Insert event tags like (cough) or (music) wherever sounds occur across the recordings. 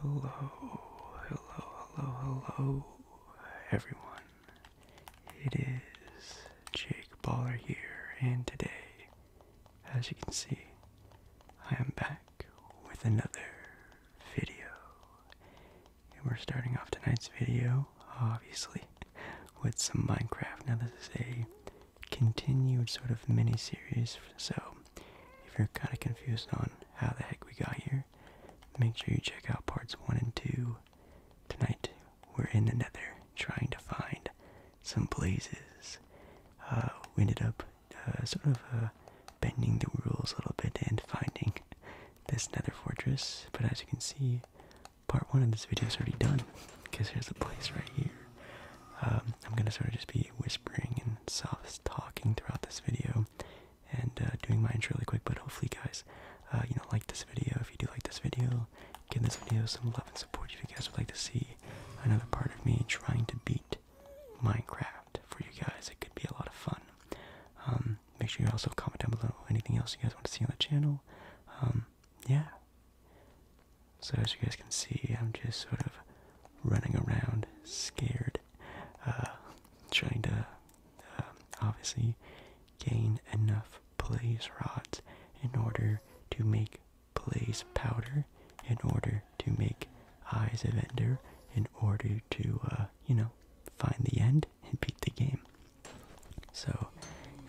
Hello, hello, hello, hello, everyone. It is Jake Baller here, and today, as you can see, I am back with another video. And we're starting off tonight's video, obviously, with some Minecraft. Now, this is a continued sort of mini series, so if you're kind of confused on how the heck we got here, make sure you check out parts 1 and 2. Tonight, we're in the nether trying to find some places. Uh, we ended up uh, sort of uh, bending the rules a little bit and finding this nether fortress, but as you can see, part 1 of this video is already done because here's the place right here. Um, I'm gonna sort of just be whispering and soft talking throughout this video and uh, doing mine intro really quick, but hopefully, guys, uh, you know, like this video. If you do like this video, give this video some love and support if you guys would like to see another part of me trying to beat Minecraft for you guys. It could be a lot of fun. Um, make sure you also comment down below anything else you guys want to see on the channel. Um, yeah. So as you guys can see, I'm just sort of running around, scared, uh, trying to uh, obviously gain enough blaze rods in order to make blaze powder, in order to make eyes of ender, in order to, uh, you know, find the end and beat the game. So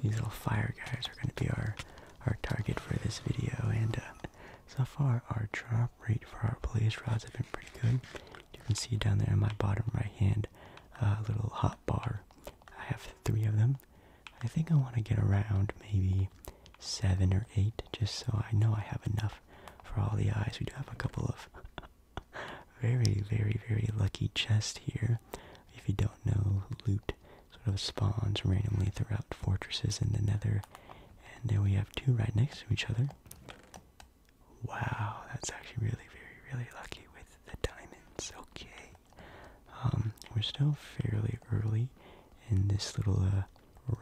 these little fire guys are going to be our our target for this video, and so far our draw rate for our blaze rods have been pretty good. You can see down there in my bottom right hand, uh, a little hot bar. I have three of them. I think I want to get around maybe seven or eight, just so I know I have enough for all the eyes. We do have a couple of (laughs) very, very, very lucky chests here. If you don't know, loot sort of spawns randomly throughout fortresses in the nether. And then we have two right next to each other. Wow, that's actually really, very, really lucky with the diamonds. Okay. Um, we're still fairly early in this little uh,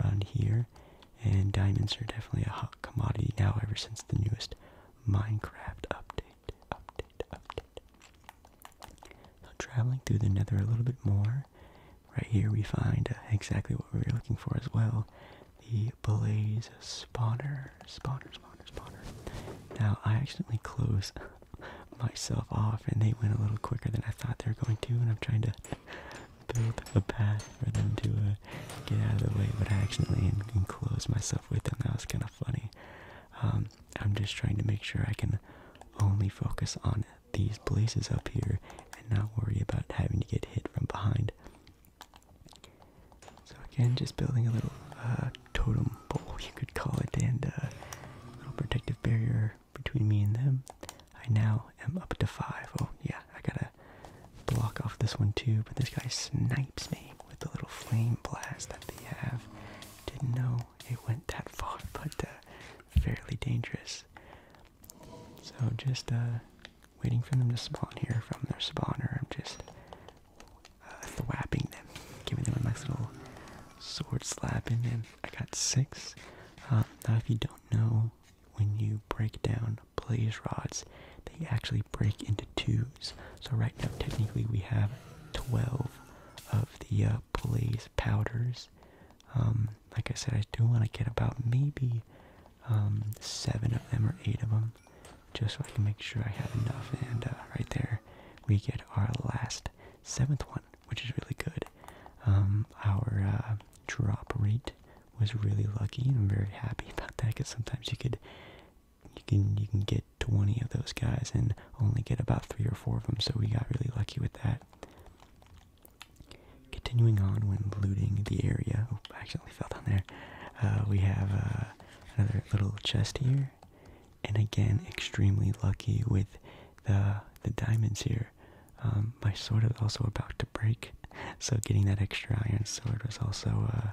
run here, and diamonds are definitely a hot commodity now ever since the newest Minecraft update. Update, update. So, traveling through the nether a little bit more, Right here we find exactly what we were looking for as well. The Blaze Spawner. Spawner, spawner, spawner. Now, I accidentally closed (laughs) myself off and they went a little quicker than I thought they were going to and I'm trying to (laughs) build a path for them to uh, get out of the way, but I accidentally en enclosed myself with them. That was kind of funny. Um, I'm just trying to make sure I can only focus on these these places up here and not worry about having to get hit from behind. So again, just building a little uh, totem pole, you could call it, and a uh, little protective barrier between me and them. I now am up to five. Oh yeah, I gotta block off this one too, but this guy snipes me with the little flame blast that they have. Didn't know it went that far, (laughs) but uh, fairly dangerous. So just uh, waiting for them to spawn here from their spawner. I'm just uh, thwapping them, giving them a nice little sword slapping. And I got six. Um, now, if you don't know, when you break down blaze rods, they actually break into twos. So right now, technically, we have 12 of the uh, blaze powders. Um, like I said, I do want to get about maybe um, seven of them or eight of them, just so I can make sure I have enough. And uh, right there, we get our last seventh one, which is really good. Um, our uh, drop rate was really lucky, and I'm very happy (laughs) about that because sometimes you could you can you can get 20 of those guys and only get about three or four of them so we got really lucky with that Continuing on when looting the area, oh, I accidentally fell down there. Uh, we have uh, another little chest here, and again, extremely lucky with the the diamonds here. Um, my sword is also about to break, (laughs) so getting that extra iron sword was also uh,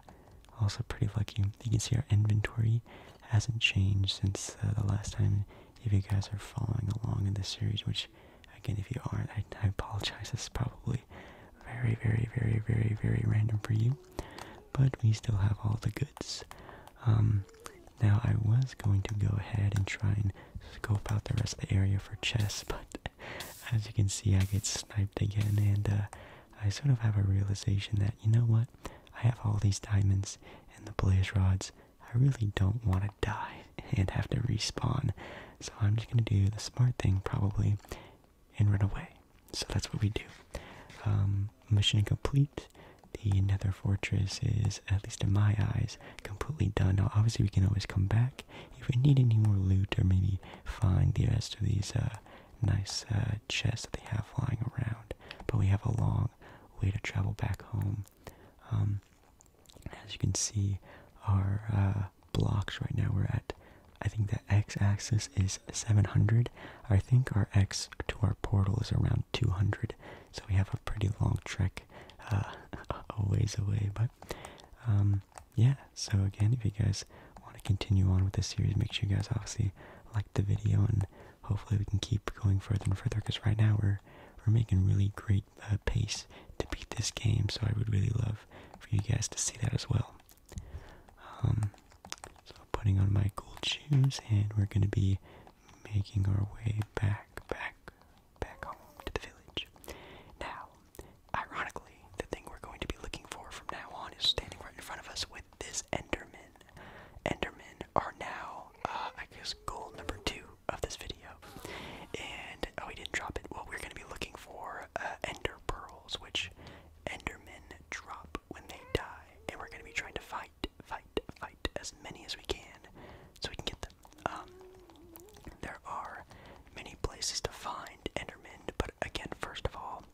also pretty lucky. You can see our inventory hasn't changed since the last time. If you guys are following along in this series, which again, if you aren't, I, apologize. This probably very, very, very, very, very random for you. But we still have all the goods. Um, now I was going to go ahead and try and scope out the rest of the area for chests, (laughs) but as you can see, I get sniped again, and uh, I sort of have a realization that you know what? I have all these diamonds and the blaze rods. I really don't want to die and have to respawn. So I'm just gonna do the smart thing probably and run away. So that's what we do. Um, mission complete. The Nether Fortress is, at least in my eyes, completely done. Now, obviously, we can always come back if we need any more loot or maybe find the rest of these uh, nice uh, chests that they have lying around. But we have a long way to travel back home. Um, as you can see, our uh, blocks right now, we're at, I think the x-axis is 700. I think our x to our portal is around 200, so we have a pretty long trek uh, (laughs) a ways away, but um, yeah, so again, if you guys want to continue on with this series, make sure you guys obviously like the video, and hopefully we can keep going further and further, because right now we're, we're making really great great uh, pace to beat this game, so I would really love for you guys to see that as well. Um, so putting on my gold shoes, and we're going to be making our way back, back, back home to the village. Now, ironically, the thing we're going to be looking for from now on is standing right in front of us with this Enderman. Endermen are now, uh, I guess, goal number two of this video. And oh, he didn't drop it. Well, we're gonna be looking for uh, ender pearls, which endermen drop when they die, and we're gonna be trying to fight, fight, fight as many as we can, so we can get them. Um, there are many places to find endermen, but again, first of all,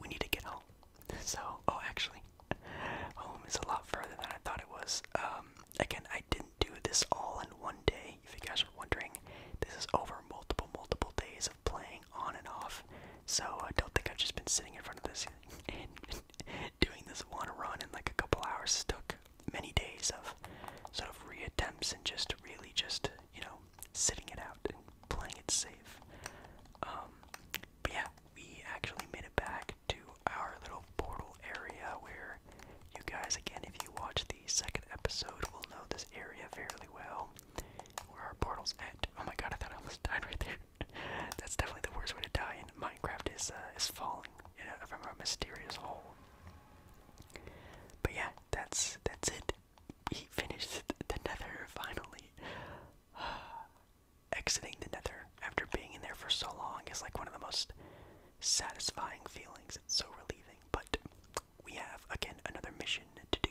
we need to get home. So, oh, actually, home is a lot further than I thought it was. Um, again, I did not do this all in one day. If you guys are wondering, this is over multiple, multiple days of playing on and off. So I don't think I've just been sitting in front of this and (laughs) doing this one run in like a couple hours. It took many days of sort of reattempts and just really just, you know, sitting it out and playing it safe. Um, but yeah, we actually made it back to our little portal area where you guys, again, if you watch the second episode, we'll know this area fairly well. Where our portal's end. Oh my god, I thought I almost died right there. (laughs) That's definitely the worst way to die in Minecraft is, uh, is falling from a mysterious hole. But yeah, that's, that's it. He finished the nether, finally. (sighs) Exiting the nether after being in there for so long is like one of the most satisfying feelings. It's so relieving. But we have again another mission to do.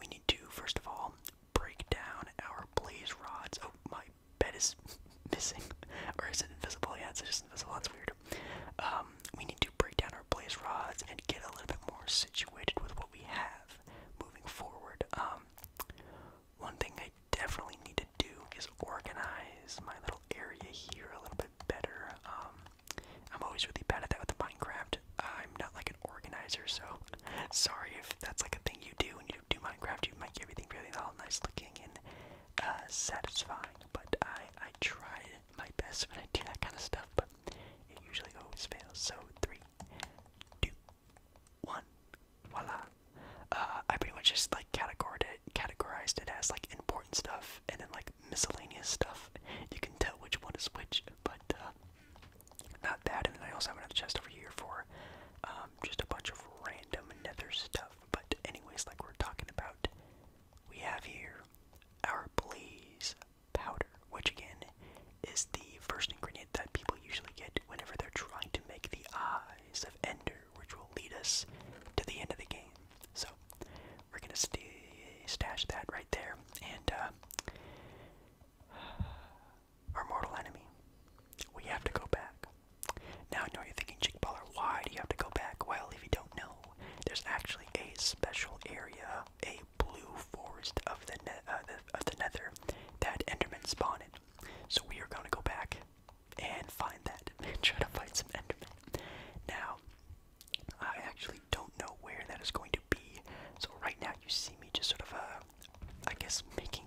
We need to first of all break down our blaze rods. Oh, my bed is (laughs) missing, or is it invisible? Yeah, it's just invisible. That's weird. Um, we need to break down our blaze rods and get a little bit more situated with what we have moving forward. Um, one thing I definitely need to do is organize my little area here a little bit better. Um, I'm always really bad at that with Minecraft. Uh, I'm not like an organizer, so (laughs) sorry if that's like a thing you do when you do Minecraft. You make everything really all nice looking and uh, satisfying, but I I try my best when I do that kind of stuff, but it usually always fails. So three, two, one, voila. Uh, I pretty much just like categorized categorized it as like important stuff and then like miscellaneous stuff. You can tell which one is which, but uh, not that. And I also have another chest over here for um, just a bunch of random nether stuff. But anyways, like we're talking about, we have here our blaze powder, which again is the first ingredient that people usually get whenever they're trying to make the eyes of Ender, which will lead us to the end of the game. So we're gonna stash that right there, and uh, (sighs) our mortal enemy. We have to go back. Now I know you're thinking, Chickballer, why do you have to go back? Well, if you don't know, there's actually a special area, a blue forest of the, uh, the of the Nether that Endermen spawn in. So we are gonna go back and find that and (laughs) try to fight some Endermen. Now, I actually don't know where that is going to be. So right now you see me just sort of uh I guess making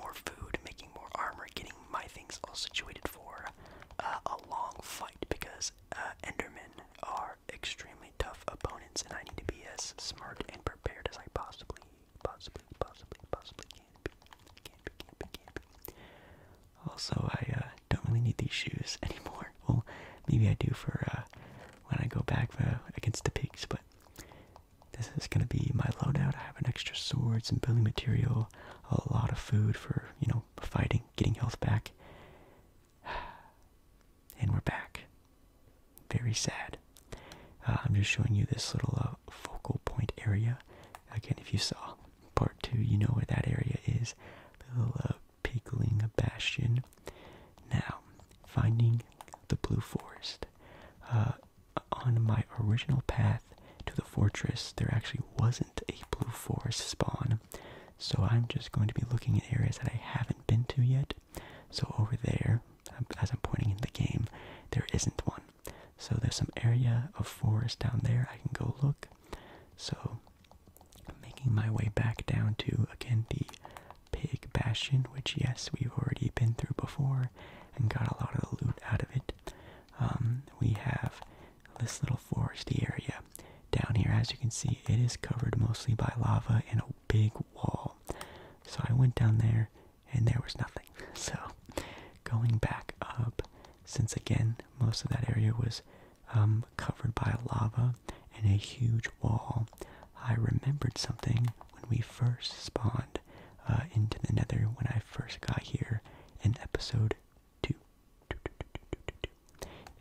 more food, making more armor, getting my things all situated for uh, a long fight because uh, Endermen are extremely tough opponents, and I need to be as smart and prepared as I possibly, possibly, possibly, possibly can be, also, I uh, don't really need these shoes (laughs) anymore. Well, maybe I do for uh, when I go back uh, against the pigs, but this is gonna be my loadout. I have an extra sword, some building material, a lot of food for, you know, fighting, getting health back. (sighs) And we're back. Very sad. I'm just showing you this little focal point area. Again, if you saw part two, you know where that area is. little a Bastion. Now, finding the Blue Forest. Uh, on my original path to the fortress, there actually wasn't a Blue Forest spawn, so I'm just going to be looking at areas that I haven't been to yet. So, over there, um, as I'm pointing in the game, there isn't one. So, there's some area of forest down there I can go look. So, making my way back down to again the pig bastion, which yes, we've already been through before and got a lot of loot out of it. Um, we have this little foresty area down here. As you can see, it is covered mostly by lava and a big wall. So I went down there and there was nothing. (laughs) So going back up, since again most of that area was um, covered by lava and a huge wall. I remembered something when we first spawned uh, into the nether when I first got here in episode 2.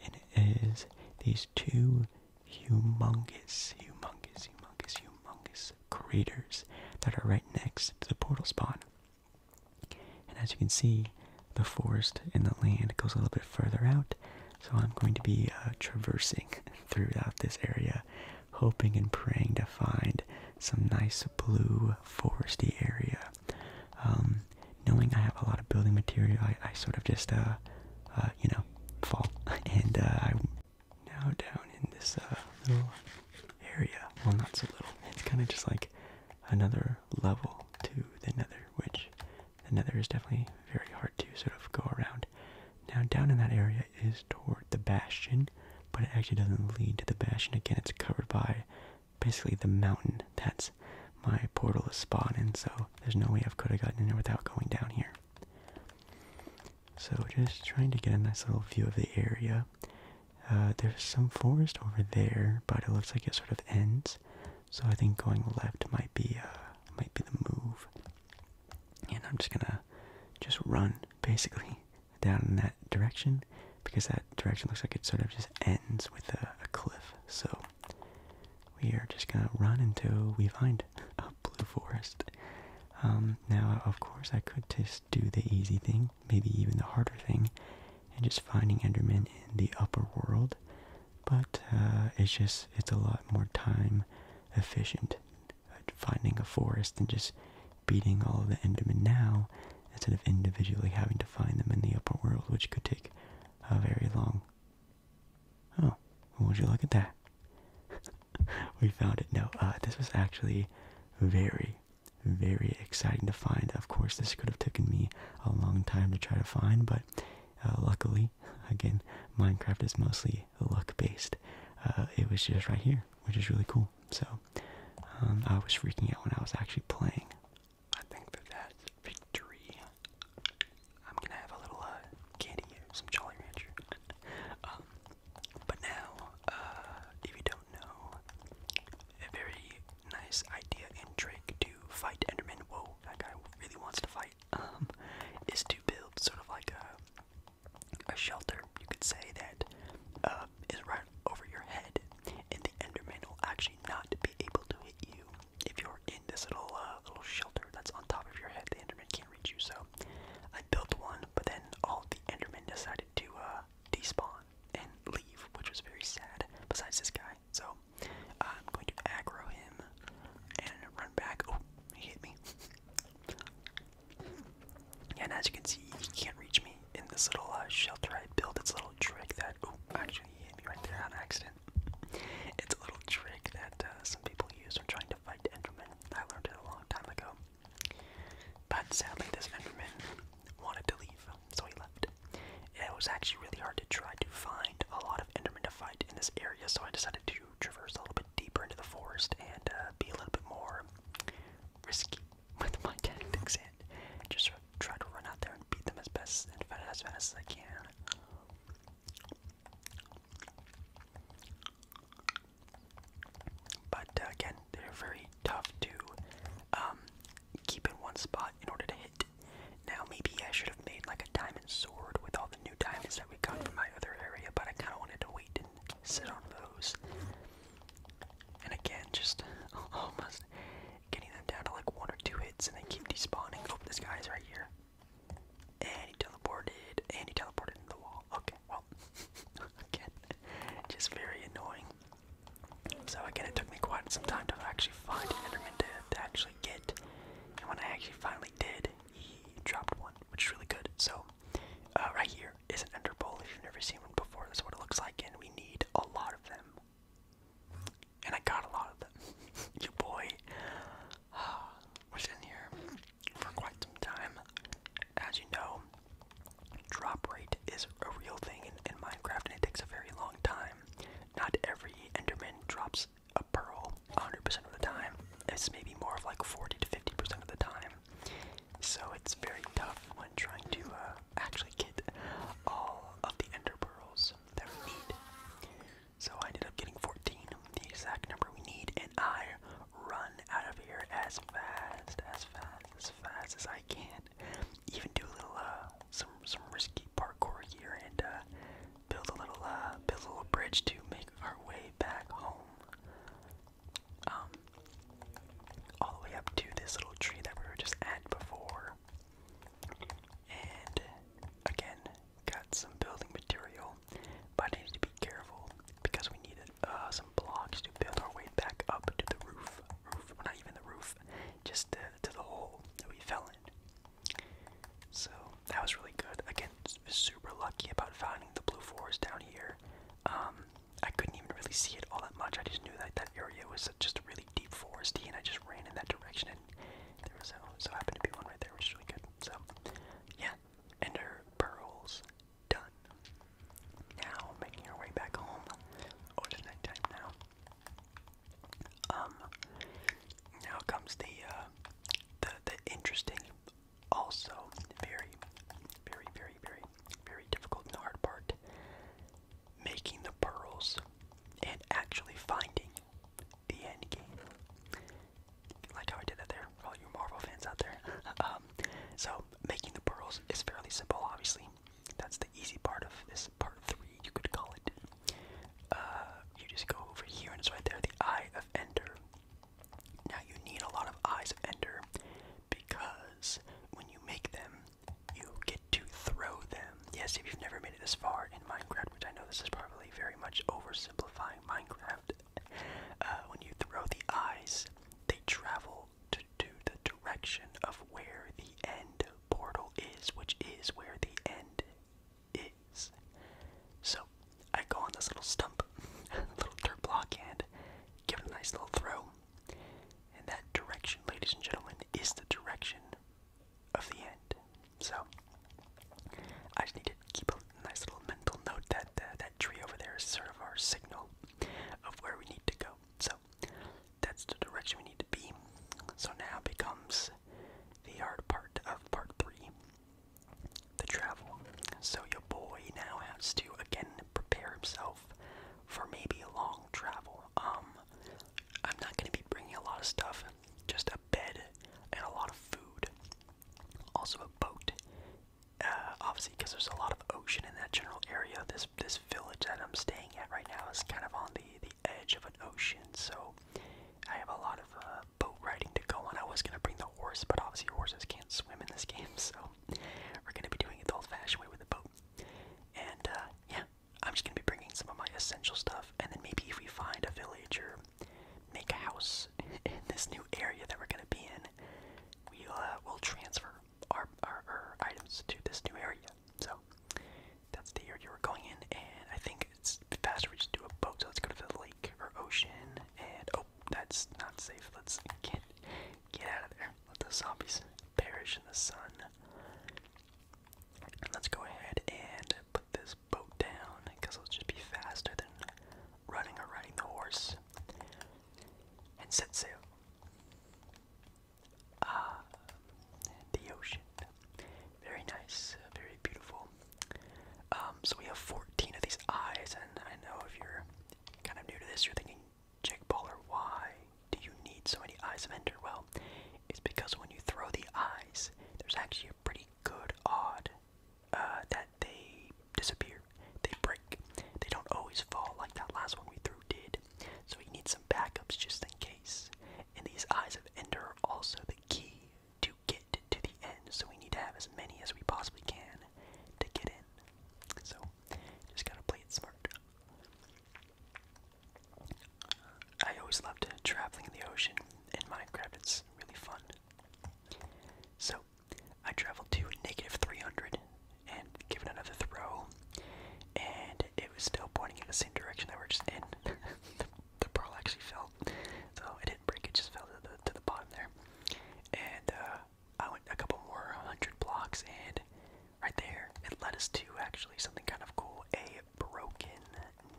And it is these two humongous, humongous, humongous, humongous craters that are right next to the portal spawn. And as you can see, the forest in the land goes a little bit further out, so I'm going to be uh, traversing (laughs) throughout this area, hoping and praying to find some nice blue foresty area. Um, knowing I have a lot of building material, I, sort of just, uh, uh, you know, fall. (laughs) And i now down in this little area. Well, not so little. It's kind of just like another level to the nether, which the nether is definitely very hard to sort of go around. Now, down in that area is toward the bastion, but it actually doesn't lead to the bastion. Again, it's covered by basically the mountain. That's my portal is spawned in, so there's no way I could have gotten in there without going down here. So, just trying to get a nice little view of the area. Uh, there's some forest over there, but it looks like it sort of ends. So I think going left might be uh, might be the move. And I'm just gonna just run basically (laughs) down in that direction because that direction looks like it sort of just ends with a, cliff. So we are just gonna run until we find (laughs) a blue forest. Um, now, of course, I could just do the easy thing, maybe even the harder thing, and just finding endermen in the upper world. But uh, it's just, it's a lot more time efficient uh, finding a forest than just beating all the Endermen now instead of individually having to find them in the upper world, which could take a very long. Oh, would you look at that? (laughs) we found it. No, uh, this was actually very, very exciting to find. Of course, this could have taken me a long time to try to find, but uh, luckily, again, Minecraft is mostly luck based. Uh, it was just right here, which is really cool. So um, I was freaking out when I was actually playing. I think that victory. I'm gonna have a little uh, candy here, some Jolly Rancher. Um, but now, if you don't know, a very nice idea and trick to fight Enderman. Whoa, that guy really wants to fight. Um, is to build sort of like a a shelter, you could say that uh, is right over your head, and the Enderman will actually not be able to hit you if you're in this little uh, little shelter that's on top of your head. The Enderman can't reach you. So I built one, but then all the Endermen decided to uh, despawn and leave, which was very sad. Besides this guy, so I'm going to aggro him and run back. Oh, he hit me. yeah, (laughs) and as you can see, he can't reach me in this little uh, shelter I built. It's a little trick that. Oh, actually, he hit me right there on accident. It's a little trick that uh, some people use when trying to fight Endermen. I learned it a long time ago. But sadly, this Enderman wanted to leave so he left. It was actually really hard to try to find a lot of Endermen to fight in this area, so I decided to traverse a little bit deeper into the forest and uh, be a little bit more risky (laughs) with my tactics and just try to run out there and beat them as best and as fast as I can. But uh, again, they're very tough to um, keep in one spot in order to hit. Now, maybe I should have made like a diamond sword with all the new diamonds that we got from my other area, but I kind of wanted to wait and sit on those. And again, just (laughs) almost getting them down to like one or two hits and they keep despawning. Oh, this guy's right here. And he teleported, and he teleported into the wall. Okay, well, (laughs) again, just very annoying. So again, it took me quite some time to actually find an Enderman to, actually get. And when I actually finally did, he dropped one, which is really good. So uh, right here is an Ender Bowl. If you've never seen one before, this is what it looks like, and we need a lot of them. And I got a lot of them. (laughs) you boy. (sighs) was in here for quite some time. As you know, drop rate is a real thing in Minecraft, and it takes a very long time not every Enderman drops a pearl 100% of the time. It's maybe more of like 40 to 50% of the time. So it's very tough when trying to uh, actually get all of the Ender pearls that we need. So I ended up getting 14, the exact number we need, and I run out of here as fast, as fast, as fast as I can even do a little uh, some some risky parkour here and uh, build a little uh, build a little bridge to make our way back home. Um, all the way up to this little tree that we were just at before. And again, got some building material, but I need to be careful because we needed some blocks to build our way back up to the roof. not even the roof, just to the hole that we fell in. So that was really good. Again, super lucky about finding the blue forest down here. Um, I couldn't even really see it all that much. I just knew that that area was just really deep foresty, and I just ran in that direction, and there was so happened to be one right there, which was really good. So, yeah, and Ender pearls done. Now making our way back home. Oh, it's nighttime now. Um, now comes the uh, the the interesting, also very, very, very, very, very difficult and hard part: making the pearls and actually finding the end game. Like how I did that there, all you Marvel fans out there. (laughs) Um, so making the pearls is fairly simple, obviously. That's the easy part of this part three, you could call it. Uh, you just go over here and it's right there, the Eye of Ender. Now you need a lot of Eyes of Ender because when you make them, you get to throw them. Yes, if you've never made it this far in Minecraft, which I know this is probably very much oversimplifying Minecraft, uh, when you throw the eyes, they travel to the direction of where the end portal is, which is where the end is. So I go on this little stump, (laughs) little dirt block, and give it a nice little throw. And that direction, ladies and gentlemen, is the direction of the end. So I just need to keep a nice little mental note that uh, that tree over there is sort of our signal of where we need to go. So that's the direction we need to be. So now becomes the hard part of part three the travel. So, your boy now has to again prepare himself for maybe a long travel. Um, I'm not going to be bringing a lot of stuff, just a bed and a lot of food. Also, a boat. Uh, obviously, because there's a lot of ocean in that general area, this this village that I'm staying at right now is kind of on the the edge of an ocean. So, I have a lot of uh, boat riding to go on. I was gonna bring the horse, but obviously horses can't swim in this game, (laughs) so we're gonna be doing it the old-fashioned way with the boat. And uh, yeah, I'm just gonna be bringing some of my essential stuff, and then maybe if we find a village or make a house (laughs) in this new area that we're gonna be in, we uh, will transfer our, our our items to this new area. So that's the area you were going in, and I think it's faster we just do a boat. So let's go to the lake or ocean, and oh, that's not safe. Let's get get out of there. Let the zombies perish in the sun. And let's go ahead and put this boat down, because it'll just be faster than running or riding the horse. And set sail. Ah, the ocean. Very nice, uh, very beautiful. Um, so we have 14 of these eyes, and I know if you're kind of new to this, you're thinking, Jake Baller, why do you need so many eyes of Ender? Well, it's because when you throw the eyes, there's actually a pretty good odd uh, that they disappear, they break. They don't always fall like that last one we threw did. So you need some backups just in case. And these Eyes of Ender are also the key to get to the end, so we need to have as many as we possibly can to get in. So, just gotta play it smart. I always loved traveling in the ocean in Minecraft, it's really fun. So, I traveled to negative 300 and give it another throw, and it was still pointing in the same direction that we're just in. (laughs) the pearl actually fell. So it didn't break, it just fell to the, to the bottom there. And uh, I went a couple more hundred blocks, and right there, it led us to actually something kind of cool a broken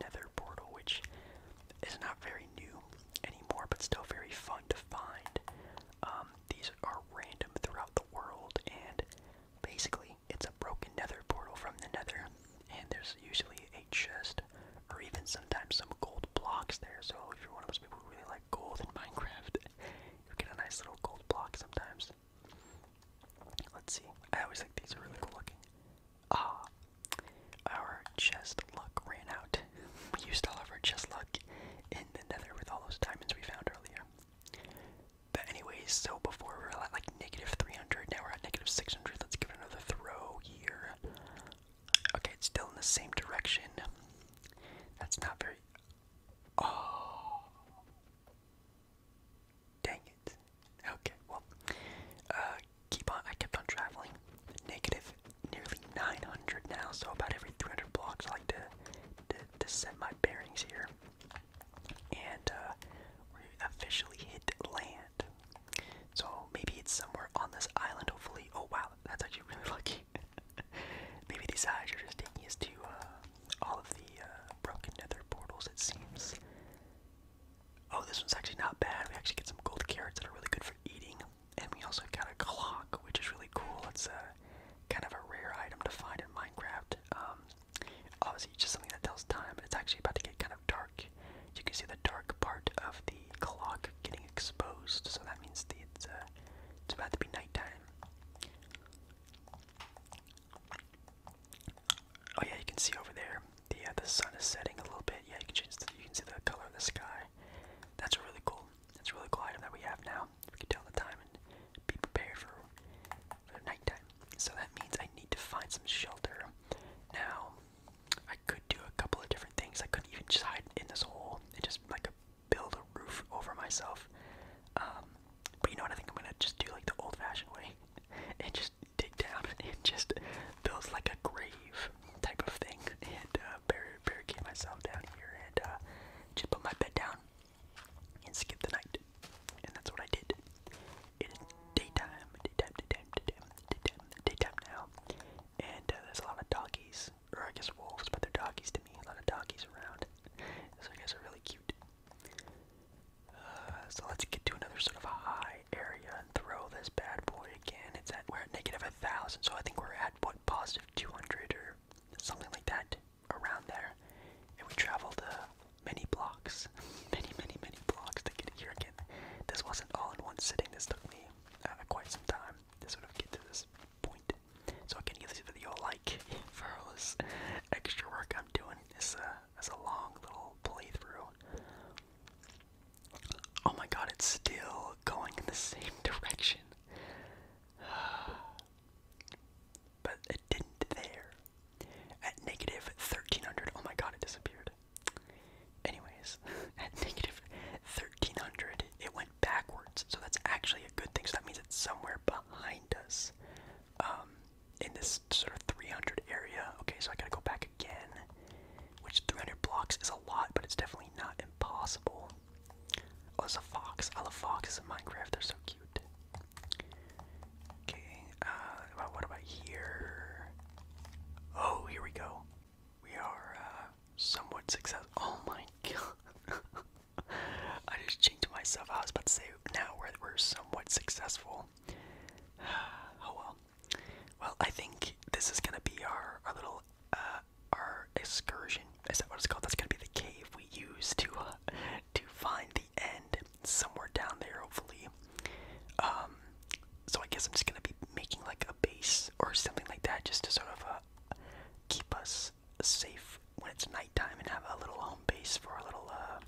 nether portal, which is not very new anymore, but still very fun to find. Um, these are random throughout the world, and basically, it's a broken nether portal from the nether, and there's usually a chest or even sometimes some gold blocks there. So if you're one of those people who really like gold in Minecraft, (laughs) you get a nice little gold block sometimes. Let's see. I always think these are really cool looking. Ah, our chest luck ran out. (laughs) We used all of our chest luck in the nether with all those diamonds we found earlier. But anyways, so before we are at like negative 300, now we're at negative 600. Let's give it another throw here. Okay, it's still in the same direction. That's not very. Oh. Dang it. Okay, well, uh, keep on. I kept on traveling. Negative nearly 900 now, so about every 300 blocks I like to, to, to set my bearings here and uh, we officially hit land. So maybe it's somewhere on this island. Hopefully, oh wow, that's actually really (laughs) lucky. maybe these eyes are just taking us to uh, all of the uh, broken nether portals. It seems. Oh, this one's actually not bad. We actually get some gold carrots that are really good for eating, and we also got a clock, which is really cool. It's a uh, kind of a rare item to find in Minecraft. Um, obviously just something that tells time, but it's actually about to get kind of dark. You can see the dark part of the clock getting exposed, so that means the, it's, uh, it's about to be nighttime. Oh yeah, you can see over there the uh, the sun is setting a little bit. Yeah, you can change the, you can see the color of the sky. That's a really cool. That's a really cool item that we have now. We can tell the time and be prepared for nighttime. So that means I need to find some shelter. Now, I could do a couple of different things. I could even just hide in this hole and just like build a roof over myself. Um, but you know what? I think I'm gonna just do like the old-fashioned way (laughs) and just dig down (laughs) and just build like a grave type of thing and uh, bar barricade myself down here and uh, just put my bed down and skip the night. And that's what I did. It is daytime, daytime, daytime, daytime, daytime, daytime now, and uh, there's a lot of doggies, or I guess wolves, but they're doggies to me. A lot of doggies around, so I guess are really cute. Uh, so let's get to another sort of a high area and throw this bad boy again. It's at we're at negative a thousand, so I think we're at what positive two hundred or something like that around there, and we traveled uh, many blocks. (laughs) many, many, many blocks to get here again. This wasn't all in one sitting. This took me uh, quite some time to sort of get to this point. So I can give this video a like (laughs) for all this extra work I'm doing. This a, a long little playthrough. Oh my god, it's still going in the same (laughs) direction. (sighs) but it didn't there. At negative 1300, oh my god, it disappeared. Anyways, (laughs) at negative 1300, it went backwards, so that's actually a good thing. So that means it's somewhere behind us um, in this sort of 300 area. Okay, so I gotta go back again, which 300 blocks is a lot, but it's definitely not impossible. Oh, it's a fox. I love foxes in Minecraft, they're so cute. Okay, uh, what about here? Oh, here we go. We are uh, somewhat successful. Oh my god. (laughs) I just changed myself. I was about to say now we're, we're somewhat successful. (sighs) oh well. Well, I think this is gonna be our, our little, uh, our excursion. Is that what it's called? That's gonna be the cave we use to, uh, to find and somewhere down there, hopefully. Um, so I guess I'm just gonna be making like a base or something like that, just to sort of uh, keep us safe when it's nighttime and have a little home base for our little uh,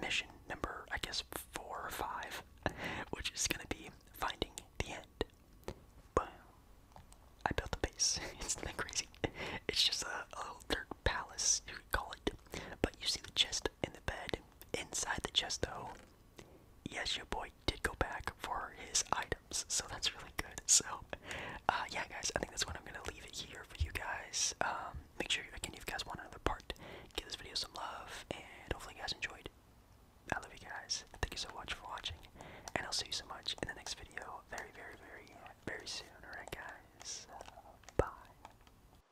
mission number, I guess four or five, (laughs) which is gonna be finding the end. Boom! I built the base. it's (laughs) not crazy. It's just a, a little dirt palace, you could call it. But you see the chest in the bed. Inside the chest, though, yes, your boy did go back for his items, so that's really good. So, uh, yeah, guys, I think that's what I'm gonna leave it here for you guys. Um, make sure again, if you guys want another part, give this video some love, and hopefully, you guys enjoyed. I love you guys. Thank you so much for watching, and I'll see you so much in the next video very, very, very, very soon. Alright, guys. Bye.